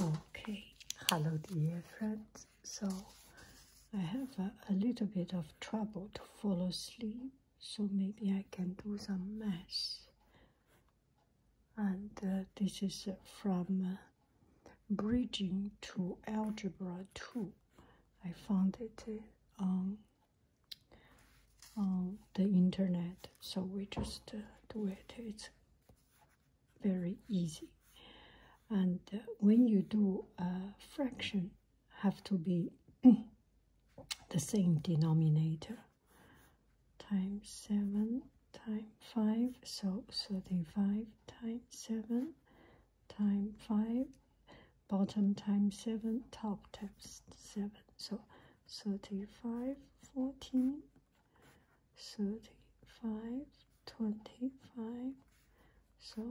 Okay, hello dear friends. So I have a, little bit of trouble to fall asleep, so maybe I can do some math. And uh, this is uh, from uh, Bridging to Algebra 2. I found it on, on the internet, so we just do it very easy. And uh, when you do a fraction, have to be the same denominator times 7 times 5 so 35 times 7 times 5 bottom times 7 top times 7 so 35 14 35 25 so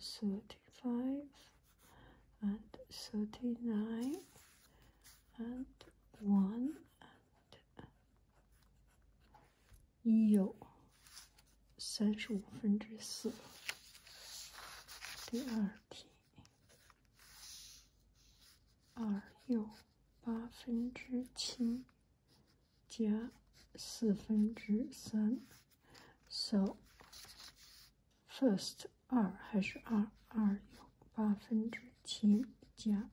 35 and 39 and 1 and 有三十五分之四。第二题，二又八分之七。加四分之三，so first 二还是二二有八分之七加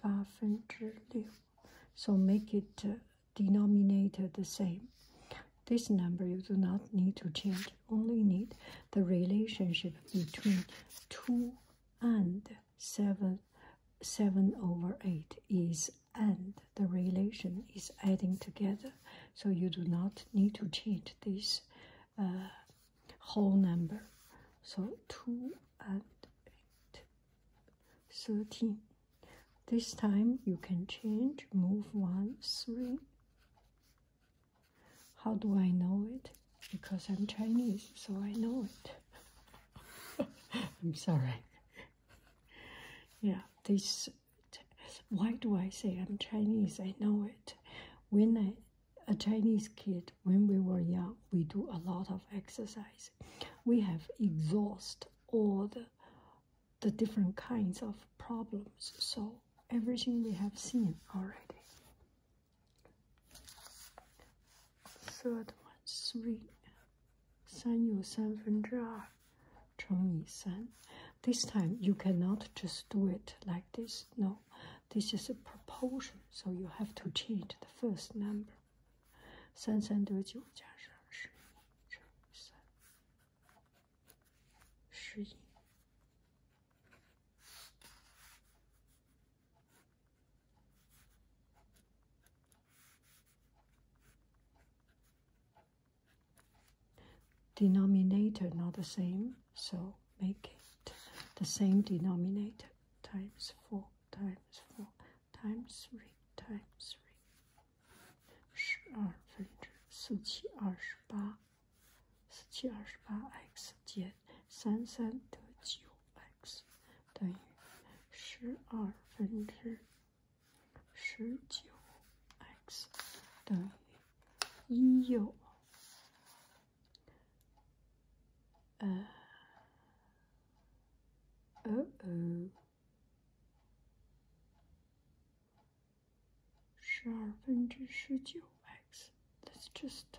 八分之六，so make it denominator the same. This number you do not need to change, only need the relationship between two and 7, 7 over 8 is and the relation is adding together so you do not need to change this uh, whole number so 2 and 13 this time you can change move 1 3 how do i know it because i'm chinese so i know it I'm sorry. Yeah, this. Why do I say I'm Chinese? I know it. When I, a Chinese kid, when we were young, we do a lot of exercise. We have exhaust all the, the different kinds of problems. So everything we have seen already third one three 三有三分之二乘以三. This time you cannot just do it like this. No, this is a proportion, so you have to change the first number. 三三得九加上十一乘以三，十一。Denominator not the same, so make it the same denominator times 4 times 4 times 3 times 3. 十二分之四七二十八，四七二十八 x 减三三得九。x 等于十二分之十九 x 等于一又呃呃呃十二分之十九 x。That's just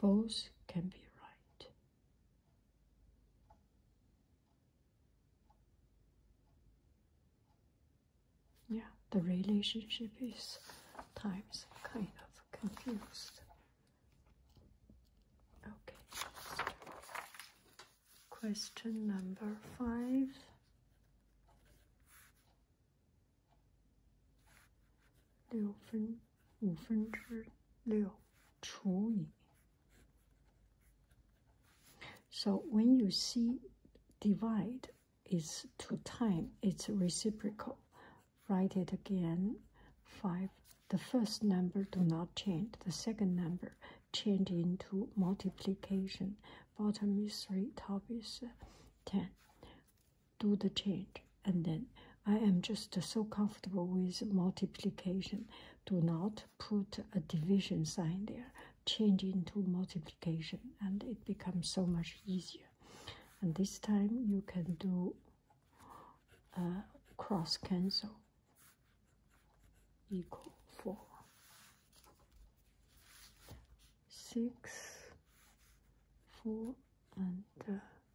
Both can be right. Yeah, the relationship is times kind of confused. Okay. Question number five. So when you see divide it's two time, it's reciprocal. Write it again. Five. The first number do not change. The second number change into multiplication. Bottom is three, top is ten do the change and then I am just so comfortable with multiplication. Do not put a division sign there. Change into multiplication and it becomes so much easier. And this time you can do uh, cross cancel equal 4. 6, 4 and uh,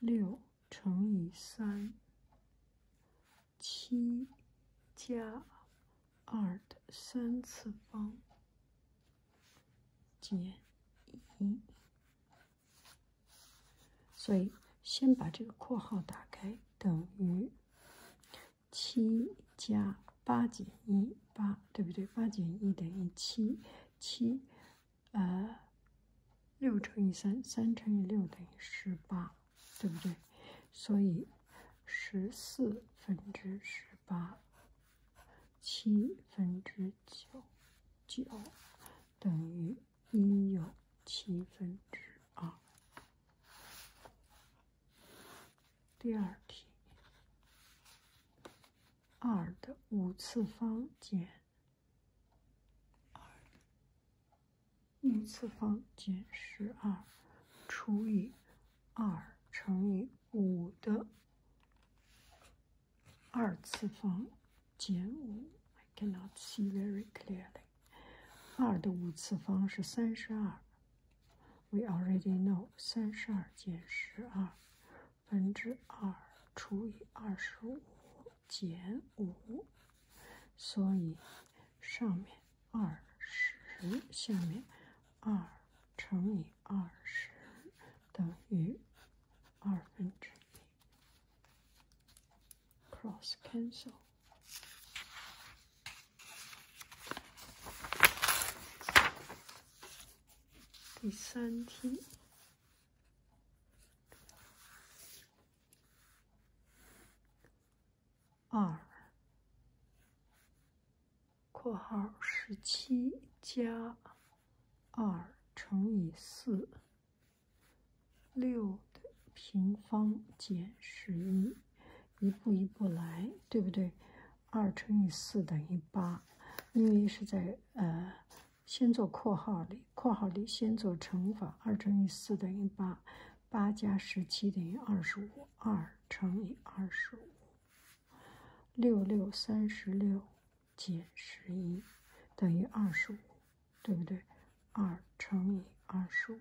六乘以三，七加二的三次方减一，所以先把这个括号打开，等于七加八减一八，对不对？八减一等于七七。呃，六乘以三，三乘以六等于十八，对不对？所以十四分之十八，七分之九，九等于一又七分之二。第二题，二的五次方减。二次方减十二除以二乘以五的二次方减五。I cannot see very clearly。二的五次方是三十二。We already know。三十二减十二。分之二除以二十五减五，所以上面二十，下面二乘以二十等于二分之一。Cross cancel。第三题。二（括号十七加二乘以四六的平方减十一）一步一步来，对不对？二乘以四等于八，因为是在呃。先做括号里，括号里先做乘法，二乘以四等于八，八加十七等于二十五，二乘以二十五，六六三十六减十一等于二十五，对不对？二乘以二十五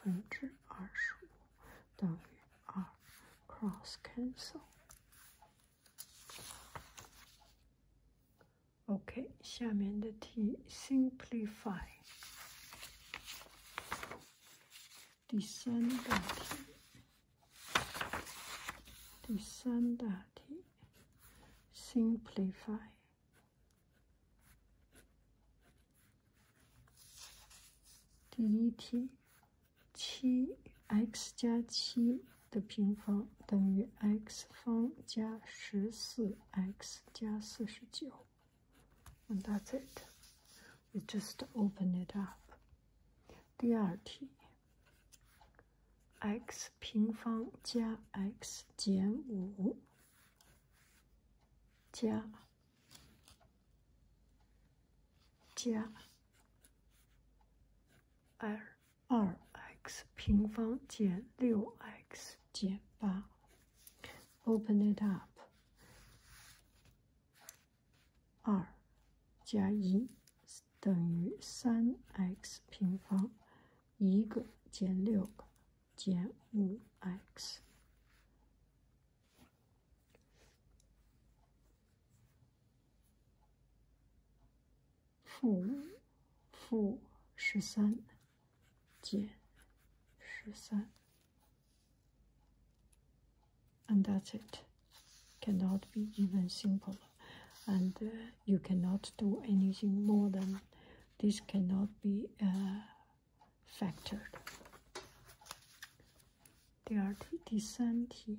分之二十五等于二，cross cancel。OK，下面的题，simplify，第三大题，第三大题，simplify，第一题，七 x 加七。的平方等于 x 方加十四 x 加四十九。that's it. w e just open it up。第二题，x 平方加 x 减五加加二。二 x 平方减六 x 减八，open it up。二加一等于三 x 平方，一个减六个减五 x。and that's it. Cannot be even simpler, and uh, you cannot do anything more than this. Cannot be factored. uh, factored. 第二题，第三题。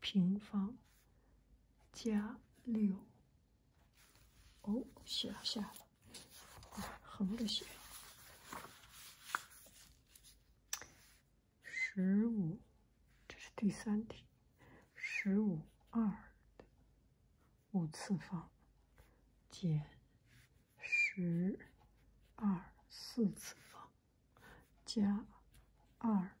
平方加六。哦，写了，下了，横着写。十五，这是第三题。十五二的五次方减十二四次方加二。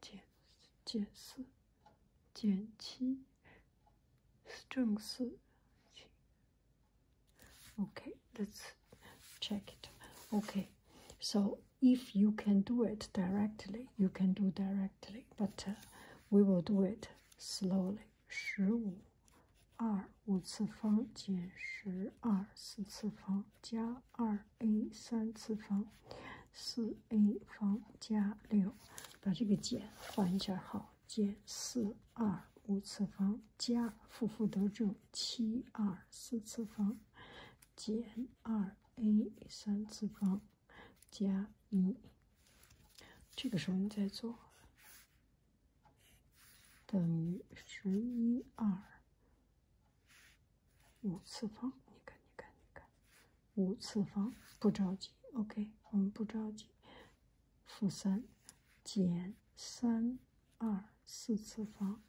减减四、减七、正四。Okay, let's check it. Okay, so if you can do it directly, you can do directly, but uh, we will do it slowly. 十五二五次方减十二四次方加二 a 三次方四 a 方加六，把这个减换一下号，减四二五次方加负负得正七二四次方减二 a 三次方加一，这个时候你再做，等于十一二。五次方，你看，你看，你看，五次方不着急，OK，我们不着急。负三减三二四次方，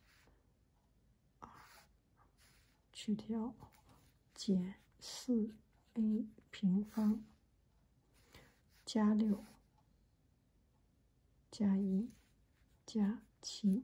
二去掉减四 a 平方加六加一加七。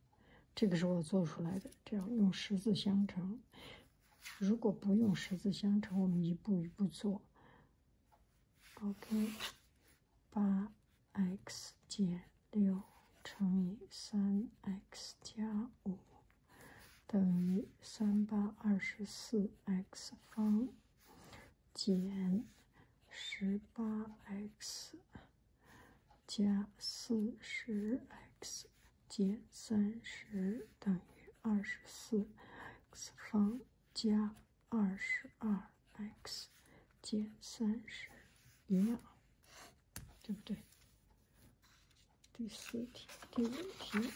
这个是我做出来的，这样用十字相乘。如果不用十字相乘，我们一步一步做。OK，八 x 减六乘以三 x 加五等于三八二十四 x 方减十八 x。加四十 x 减三十等于二十四 x 方加二十二 x 减三十，一样，对不对？第四题，第五题。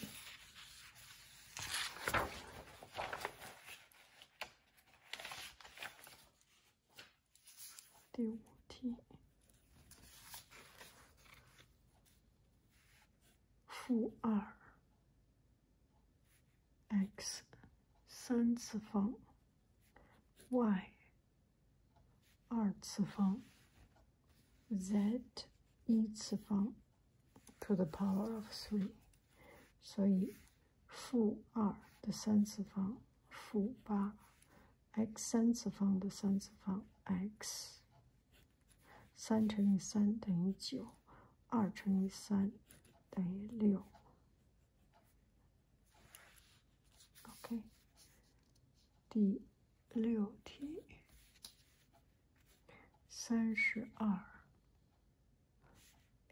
第五题，负二 x 三次方 y 二次方 z 一次方 to the power of three，所以负二的三次方负八 x 三次方的三次方，x 三乘以三等于九，二乘以三等于六。OK，第六题，三十二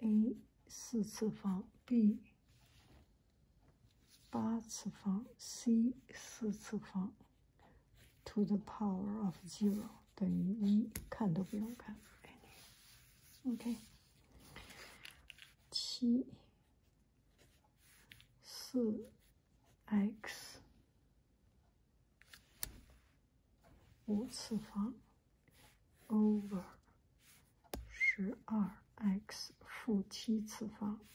a 四次方 b。八次方 c 四次方 to the power of zero 等于一，看都不用看。OK，七四 x 五次方 over 十二 x 负七次方。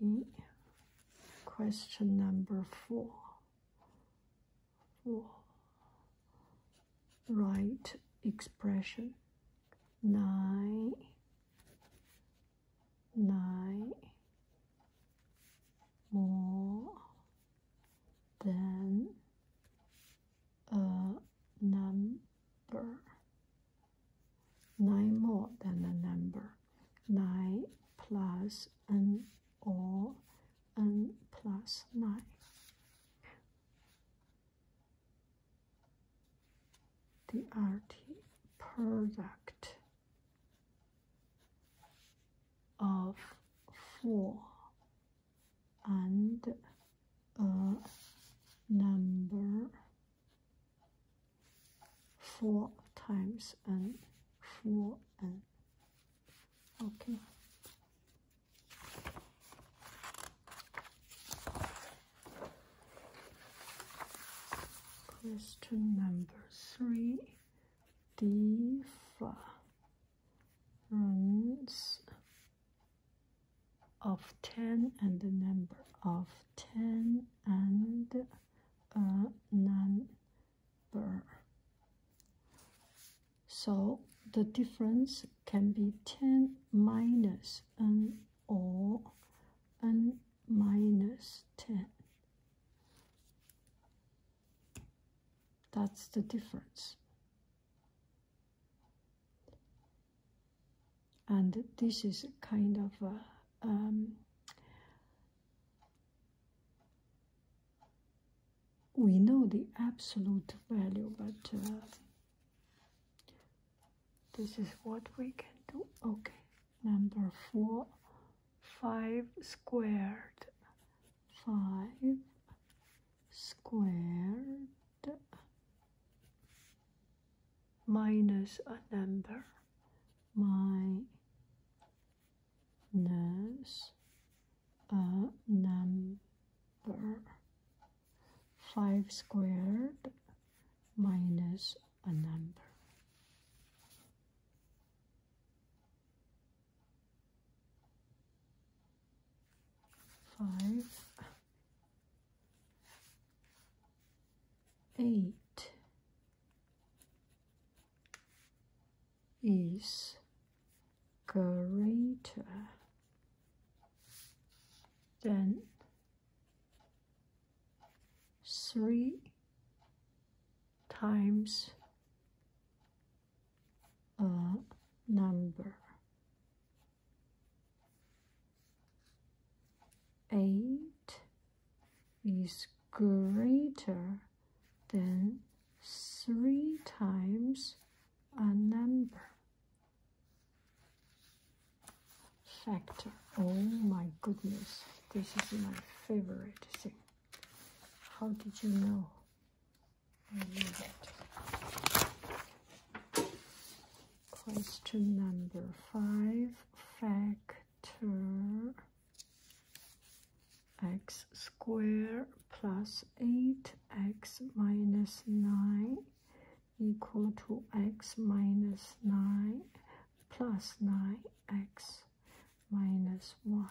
E. Question number four. Four. Right expression. Nine. Nine. More than a number. Nine more than a number. 9 plus n or n plus 9. The RT product of 4 and a number four times and four and okay question number three difference of 10 and the number of 10 and a uh, non so the difference can be 10 minus n or n minus 10. That's the difference. And this is kind of a um, we know the absolute value, but uh, this is what we can do. Okay, number four, five squared, five squared minus a number, my Minus a number. 5 squared minus a number. Five, eight, is greater than three times a number eight is greater then three times a number. Factor. Oh my goodness, this is my favorite thing. How did you know? I love it. Question number five, factor x squared plus 8x minus 9 equal to x minus 9 plus 9x minus 1.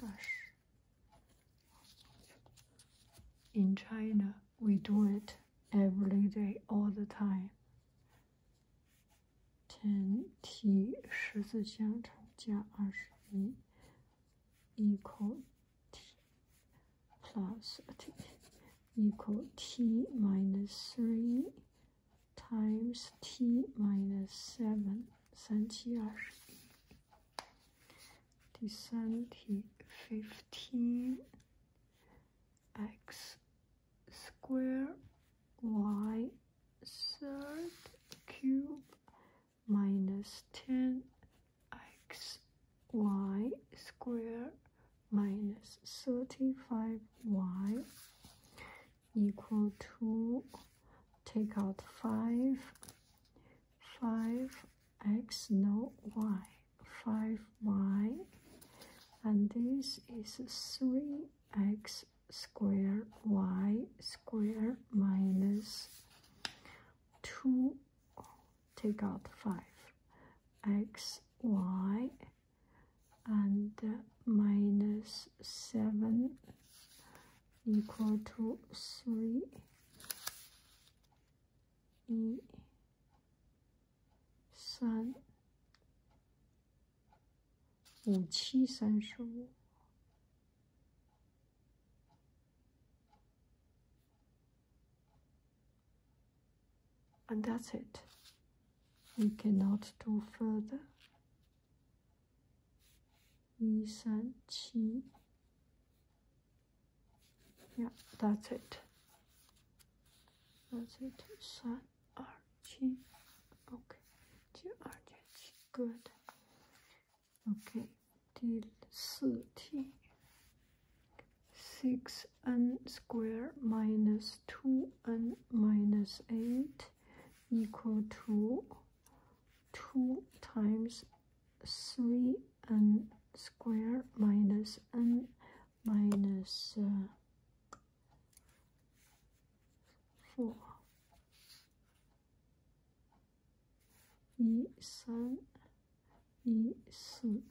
Gosh. In China, we do it every day, all the time. 天梯十字香肠加二十一，equal t plus t equal t minus three times t minus seven 三七二十一。第三题，fifteen x square y third cube minus 10 x y square minus 35 y equal to take out 5 5 x no y 5 y and this is 3 x square y square minus 2 take out 5 x y and minus 7 equal to 3 3 and that's it. We cannot do further. Yeah, that's it. That's it. GRG. Okay, GRG, good. Okay, till t 6n squared minus 2n minus 8 equal to 2 times 3n squared minus n minus uh, four e 三一四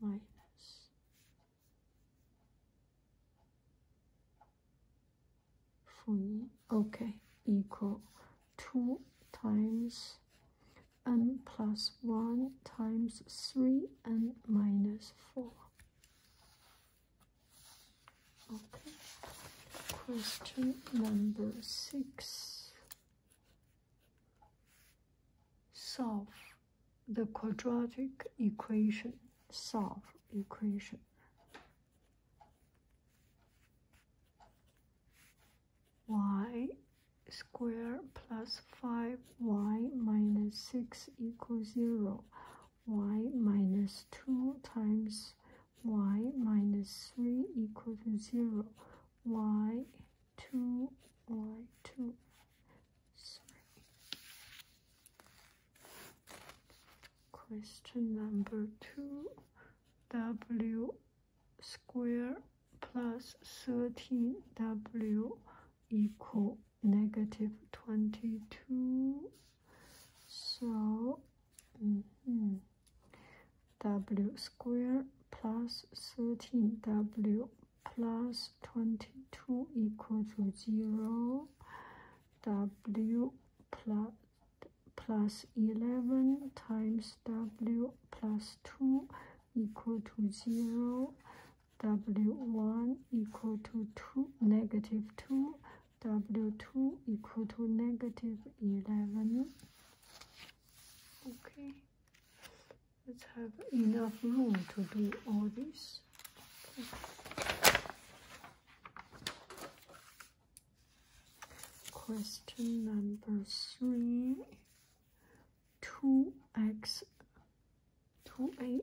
minus three okay equal two times n plus one times three n minus four Okay. Question number six. Solve the quadratic equation. Solve equation. y squared plus 5y minus 6 equals 0 y minus 2 times y minus 3 equal to 0 y 2 y 2 sorry question number 2 w square plus 13w equal negative 22 so mm-hmm. w square plus 13 w plus 22 equal to 0 w plus plus 11 times w plus 2 equal to 0 w1 equal to 2 negative 2 w2 equal to negative 11 okay let's have enough room to do all this question number three 2x 2a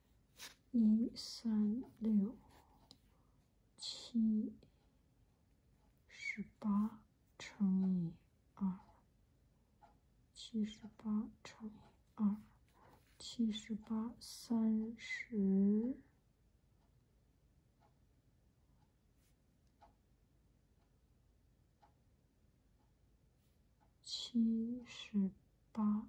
一三六七十八乘以二，七十八乘以二，七十八三十七十八。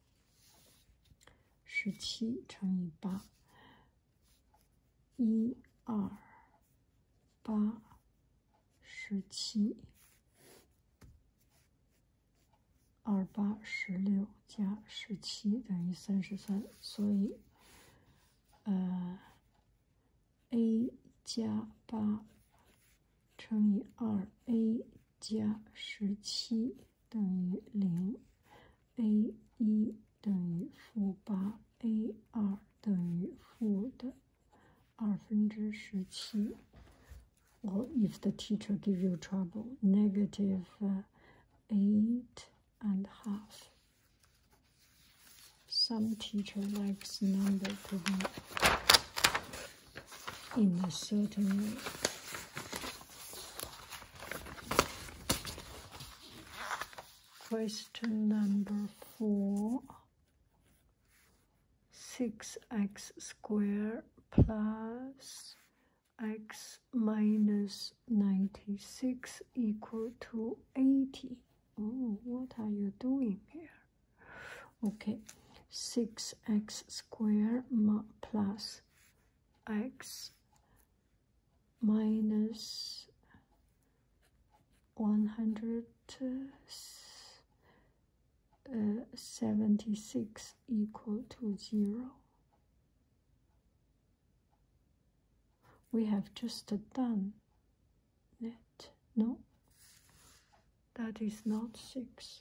十七乘以八，一二八十七，二八十六加十七等于三十三，所以，呃，a 加八乘以二 a 加十七。等于零，a 一等于负八，a 二等于负的二分之十七。Or if the teacher give you trouble, negative eight and half. Some teacher likes number to in a certain Question number four. 6x squared plus x minus 96 equal to 80. Oh, what are you doing here? Okay, 6x squared plus x minus 176 uh, equal to 0. We have just done it. No, that is not 6.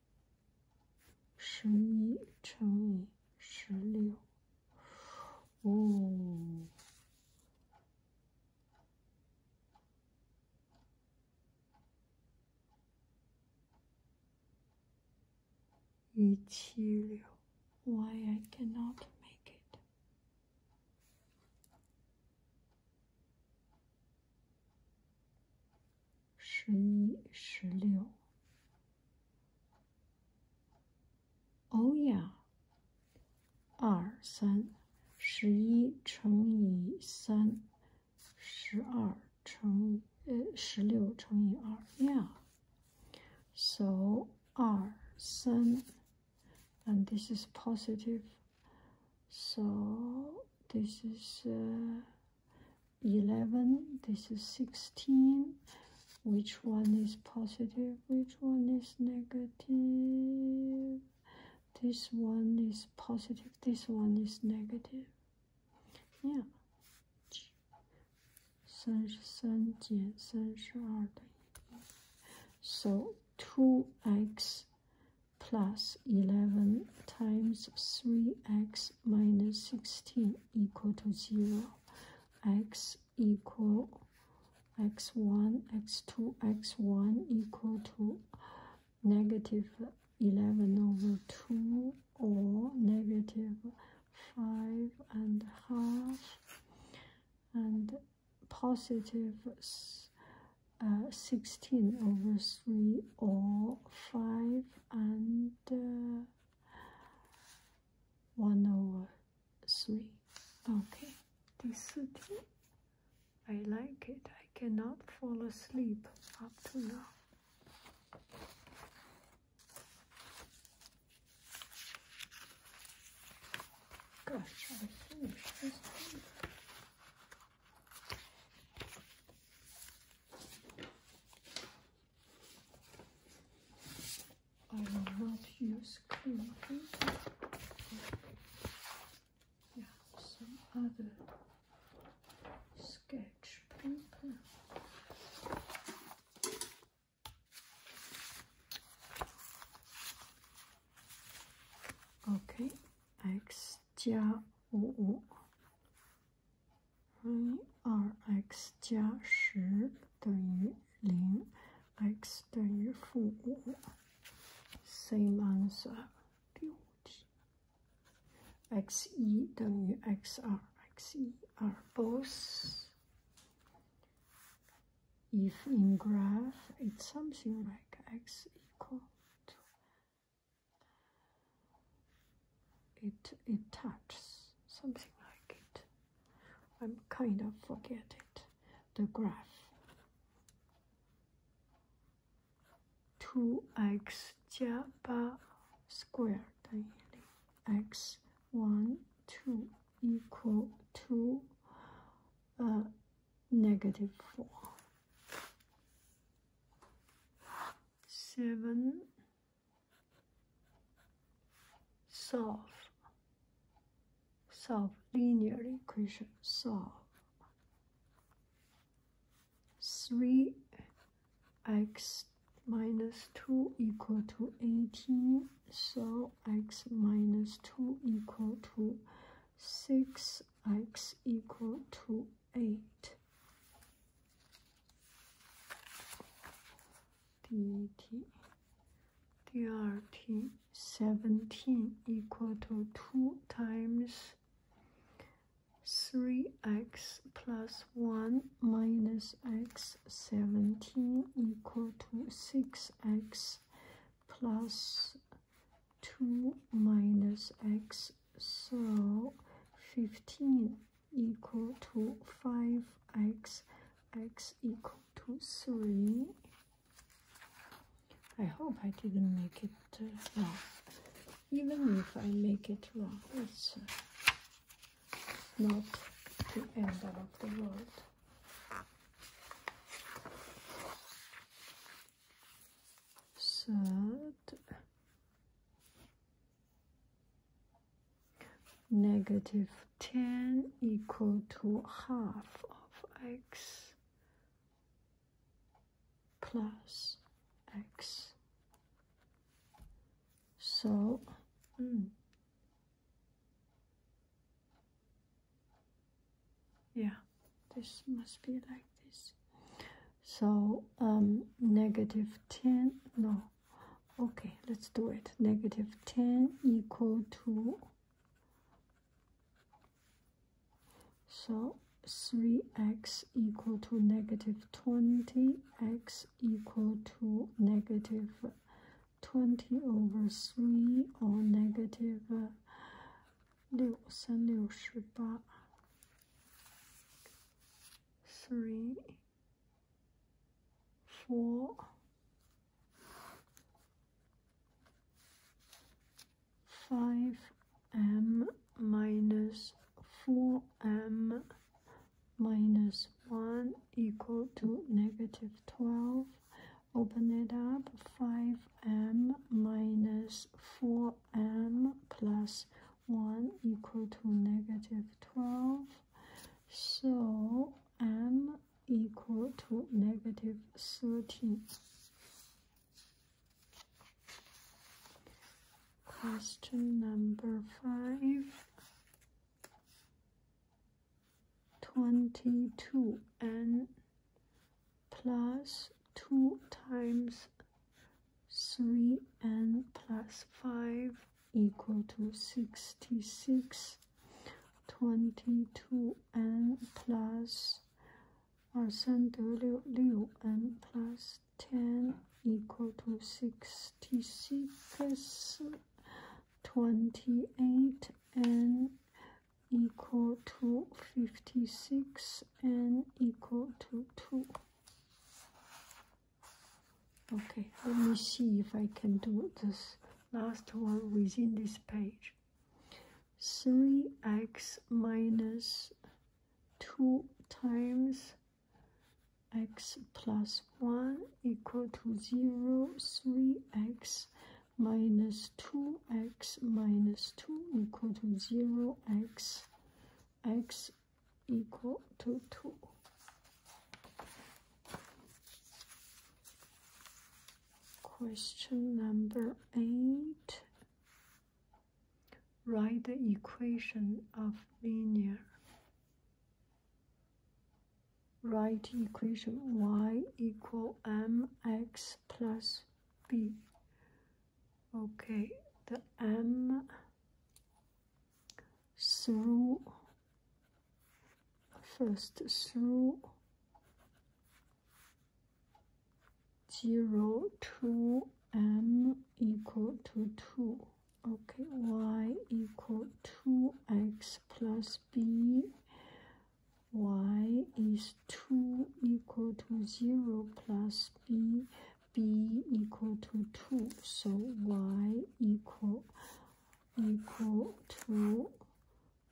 十一乘以十六，哦，一七六。Why I it？cannot make Oh yeah, Yeah. So 十一、十六。Oh yeah，二三，十一乘以三，十二乘以呃十六乘以二，yeah，so and this is positive. So this is 11 this is 16 which one is positive which one is negative this one is positive this one is negative yeah 33减32等于 so 2x plus 11 times 3x minus 16 equal to 0, x equal x1, x2, x1 equal to negative 11 over 2 or negative 5 and half and uh, 16 over 3 or 5 and uh, one over three. Okay, this two. I like it. I cannot fall asleep up to now. Gosh, I finished this thing. I will not use clean some other sketch paper. Okay, X, J, O, O. 二 x 加十等于零，x 等于负五。Same answer。第五题，x 一等于 x 二，x 一二 in graph it's something like x equal to it it touches something like it. I'm kind of forgetting The graph. Two x 加八 square 等于零，x one two equal to uh, negative four. Seven solve solve linear equation solve 3x minus 2 equal to 18 so x minus 2 equal to 6x equal to 8 dt drt 17 equal to 2 times 3x plus 1 minus x 17 equal to 6x plus 2 minus x so 15 equal to 5x, x equal to 3. I hope I didn't make it uh, wrong. Even if I make it wrong, it's uh, not the end of the world. Third, Negative 10 equal to half of x plus x. So, hmm. yeah, this must be like this. So, um, 10, no, Okay, let's do it. Negative 10 equal to, so 3x equal to negative 20, x equal to negative 20 over 3 or negative uh, 6, 3, 6, 3 four, five m minus four m minus one equal to negative twelve. Open it up, five m minus four m plus one equal to negative twelve. So m equal to negative 13. Question number 5. 22n plus 2 times 3n plus 5 equal to 66 22n plus 二三得六六 n plus ten equal to sixty six twenty eight n equal to fifty six n equal to two Okay, let me see if I can do this last one within this page. 3x minus 2 times x plus 1 equal to 0, 3x minus 2x minus 2 equal to 0, x, x equal to 2. Question number 8. Write the equation of linear. Write equation y equal mx plus b. Okay, the m through first through zero two m equal to two okay y equal to x plus b y is 2 equal to 0 plus b b equal to 2 so y equal equal to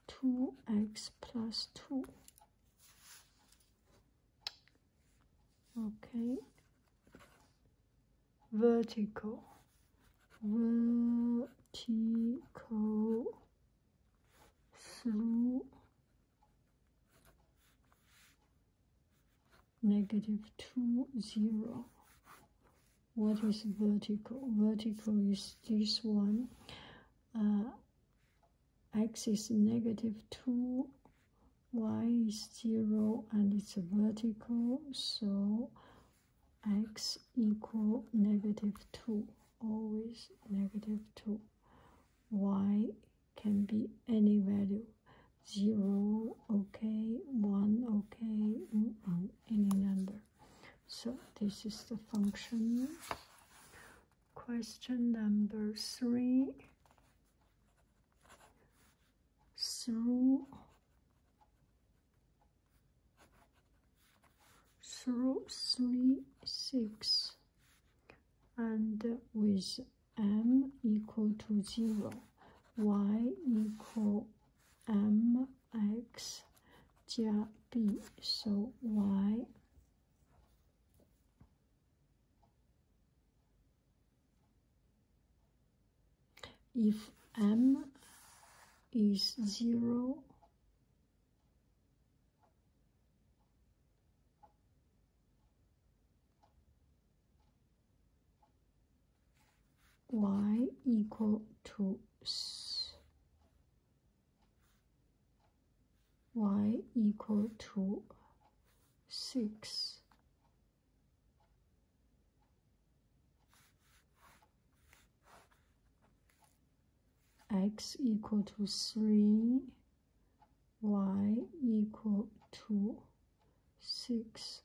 2x plus 2. Okay, vertical, vertical through negative 2, 0. What is vertical? Vertical is this one. Uh, x is negative 2, y is 0, and it's vertical, so x equal negative 2, always negative 2. y can be any value. 0, okay, 1, okay, any number. So this is the function. Question number three. Through through three six and with m equal to zero y equal mx so y. 手 y，if m is zero y equal to y equal to 6 x equal to 3 y equal to 6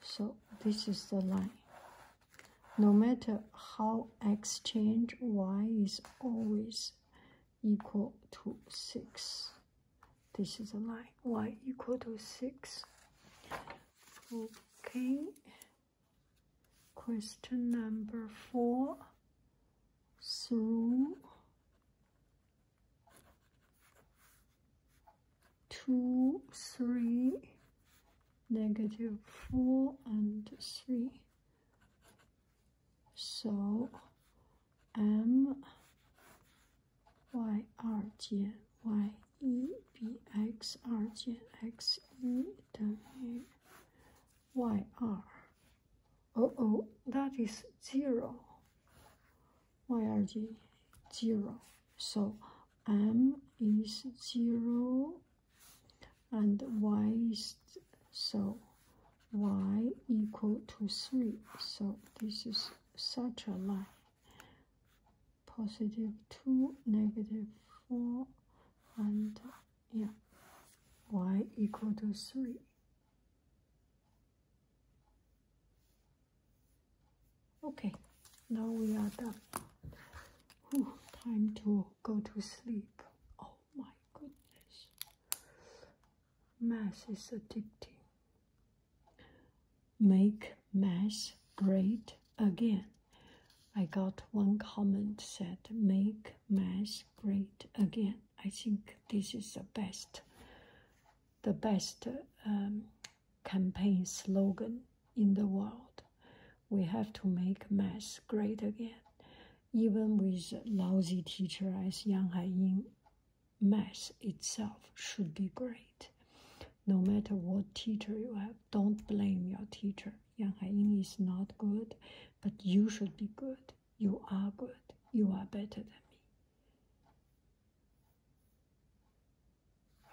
so this is the line. No matter how exchange y is always equal to 6. This is the line y equal to 6. Okay. Question number 4 through two, three, negative four and three. So M Y 二减 Y 一比 X 二减 X 一等于 Y 二。Oh oh, that is zero why are zero? So m is zero and y is so y equal to three. So this is such a line. Positive two, negative four, and yeah, y equal to three. Okay, now we are done. time to go to sleep. Oh my goodness. Math is addicting. Make mass great again. I got one comment said, make mass great again. I think this is the best, the best um, campaign slogan in the world. We have to make math great again. Even with lousy teacher as Yang Haiying, math itself should be great. No matter what teacher you have, don't blame your teacher. Yang Haiying is not good, but you should be good. You are good. You are better than me.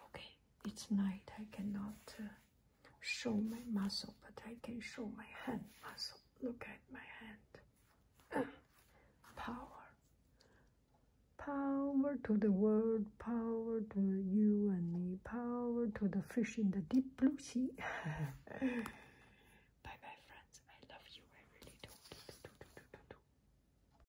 Okay, it's night. I cannot uh, show my muscle, but I can show my hand muscle. Look at my hand. power. Power to the world, power to you and me, power to the fish in the deep blue sea. Bye bye, friends. I love you. I really do.